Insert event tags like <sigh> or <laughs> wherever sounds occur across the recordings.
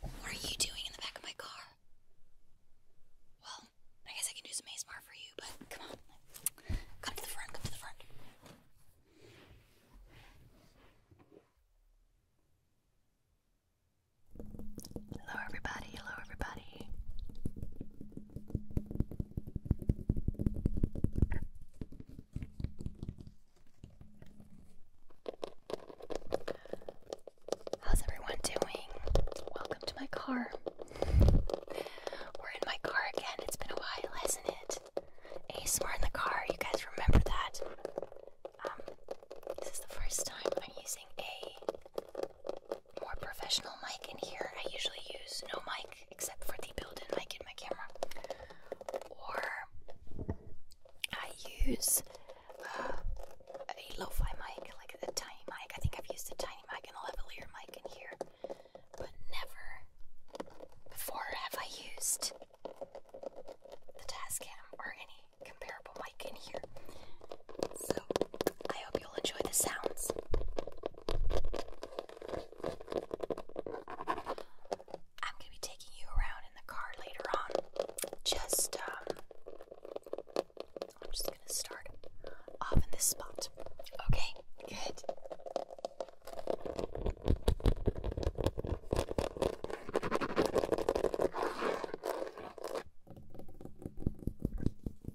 What are you doing in the back of my car? Well, I guess I can do some ASMR for you, but come on. Come to the front, come to the front. Hello, everybody. Hello, everybody. How's everyone doing? Welcome to my car. We're in my car again. It's been a while, hasn't it? ASMR in the car. You guys remember that? Um, this is the first time I'm using a more professional mic in here. I usually use no mic except for the built-in mic in my camera. Or I use uh, a lo-fi mic, like a tiny mic. I think I've used a tiny mic and a levelier mic in here. But never before have I used the task cam or any comparable mic in here. So, I hope you'll enjoy the sounds. I'm going to be taking you around in the car later on. Just, um, I'm just going to start off in this spot. Okay, good.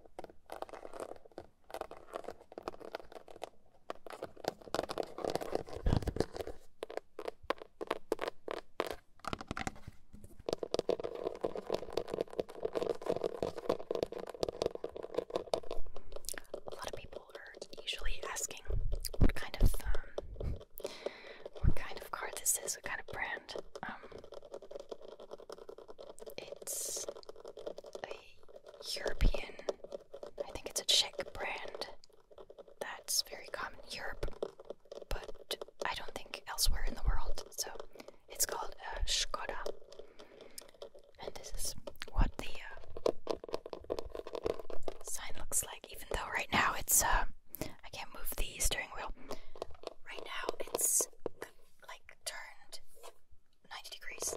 A lot of people are usually asking what kind of um, what kind of car this is, what kind of brand. Um, it's a European, I think it's a Czech brand that's very common in Europe, but I don't think elsewhere in the world. So it's called uh, Skoda. And this is what the uh, sign looks like, even though right now it's uh, I can't move the steering wheel. Right now it's like turned 90 degrees.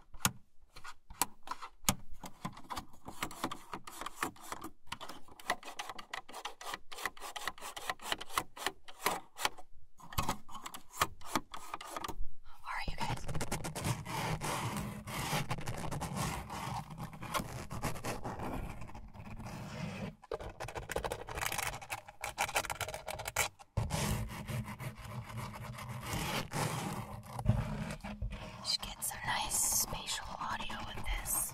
All right, you guys. You should get some nice spatial audio with this.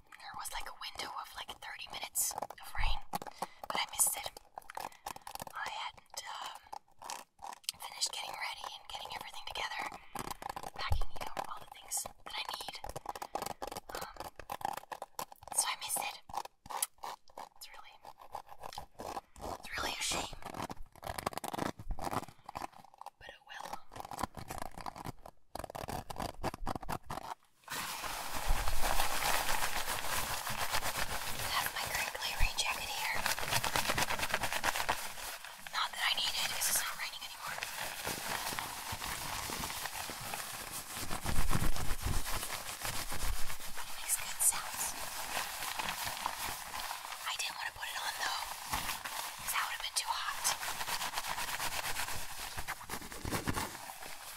there was like a window of like 30 minutes of rain, but I missed it. I hadn't um, finished getting ready and getting everything together, packing, all the things that I need. Um, so I missed it. It's really, it's really a shame. But oh well have my crinkly rain jacket here. Not that I need it because it's not raining anymore. But it makes good sounds. I didn't want to put it on though, because that would have been too hot.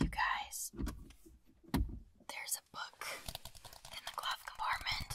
You guys, there's a book in the glove compartment.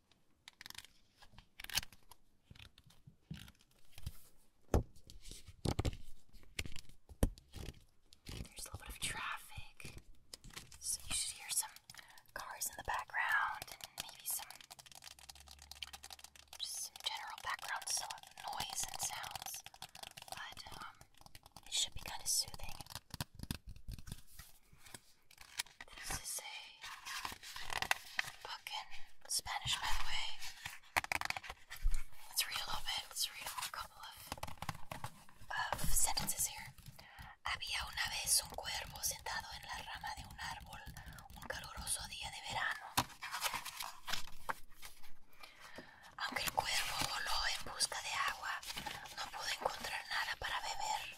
There's a little bit of traffic, so you should hear some cars in the background and maybe some just some general background so noise and sounds. But um, it should be kind of soothing. This is a Spanish, by the way. Let's read a little bit. Let's read a couple of sentences here. Había una vez un cuervo sentado en la rama de un árbol un caluroso día de verano. Aunque el cuervo voló en busca de agua, no pudo encontrar nada para beber.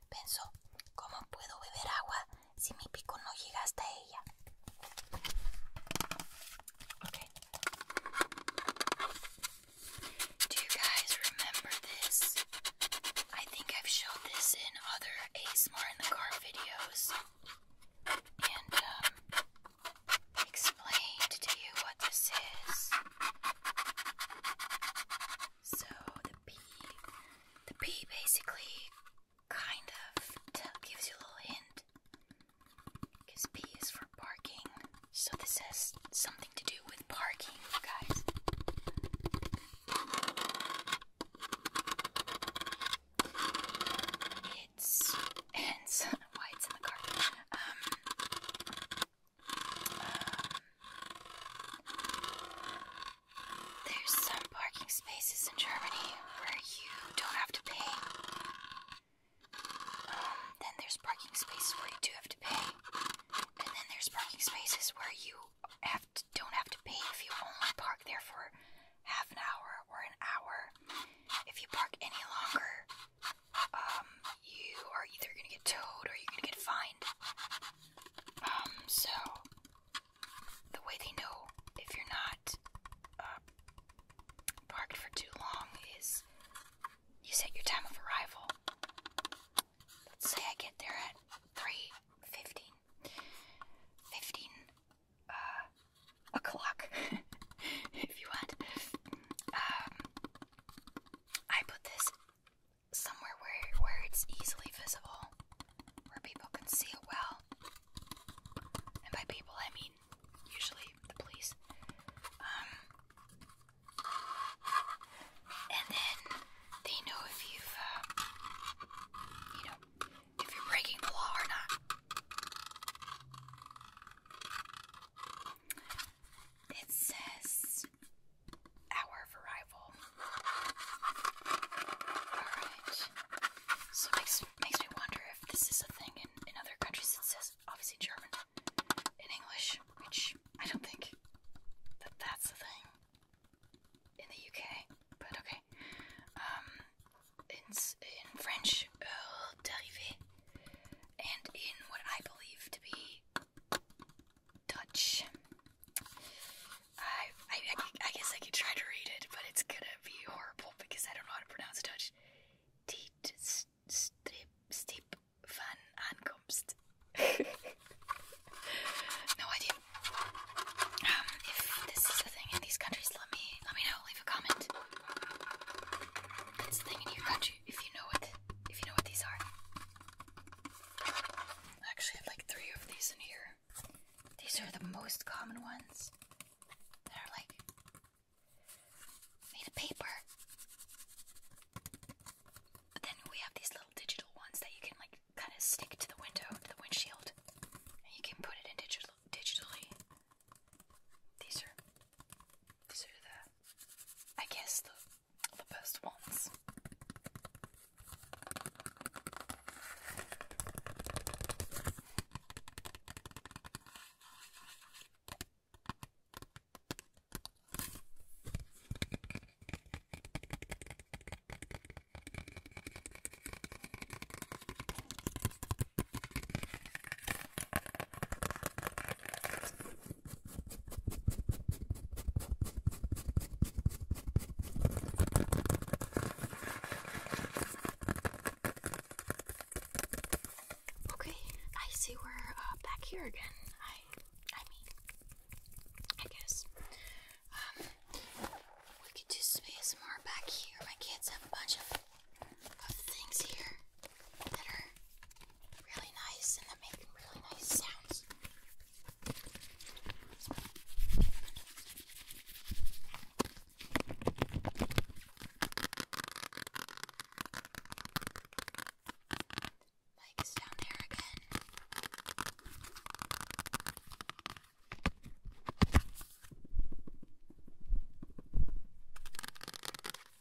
Do you guys remember this? I think I've shown this in other ASMR Martin the car videos and um, explained to you what this is. So the P, the P basically kind of gives you a little hint, because P is for parking. So this has something to do with parking, guys. It's hence <laughs> why in the car. Um, there's some parking spaces in Germany where you don't have to pay. Um, then there's parking spaces where you do have to pay. And then there's parking spaces where you have don't have to pay if you only park there for half an hour or an hour. If you park any longer, um, you are either gonna get towed or you're gonna get fined. Um, so the way they know if you're not uh, parked for too long is you set your time of arrival. Let's say I get there at three uh o'clock <laughs> if you want. Um I put this somewhere where where it's easily visible, where people can see it well. And by people, I mean usually the police. Um, and then they know if you've, uh, you know, if you're breaking the law or not. It says hour of arrival. Alright. So it makes, makes me wonder if this is a thing in, in other countries. It says obviously German in English, which I don't think that that's the thing in the UK, but okay. Um, it's in French, uh, derivé, and in what I believe to be Dutch. I, I, I guess I could try to read it, but it's gonna be horrible because I don't know how to pronounce Dutch. Tiet strip van aankomst. <laughs> no idea. Um, if this is the thing in these countries, let me let me know. Leave a comment. That's the thing in your country if you know what if you know what these are. I actually have like three of these in here. These are the most common ones that are like made of paper. then we have these little digital ones that you can like kind of stick to the window, to the windshield, you can put it in digital digitally. These are these are the I guess the, the best ones. Okay, I see we're uh, back here again. I, I mean, I guess. Um, we could do space more back here. My kids have a bunch of of things here that are really nice and that make really nice sounds. Mike is down there again.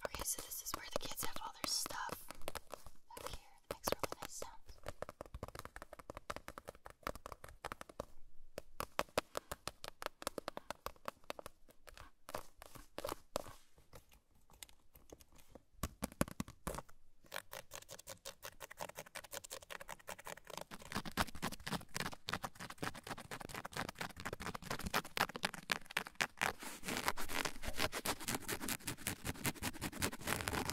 Okay, so this is where the kids have all their stuff up here makes really nice sounds.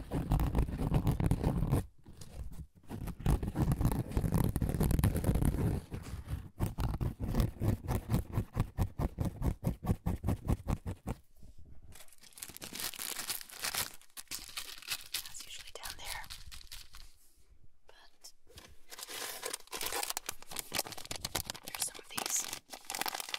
That's usually down there. But there's some of these.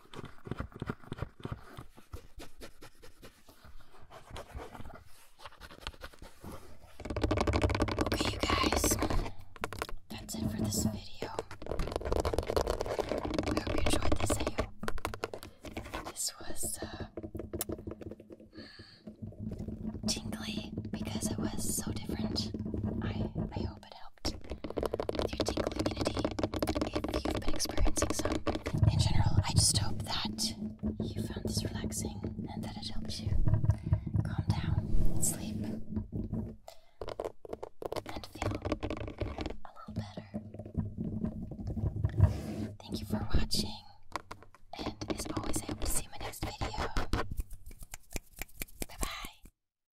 Okay, you guys, that's it for this video. I hope you enjoyed this. I this was uh, tingly because it was so different. I I hope it helped with your tingle immunity if you've been experiencing some. In general, I just hope that you found this relaxing and that it helps you calm down, sleep, and feel a little better. Thank you for watching, and as always, I hope to see you in my next video. Bye bye.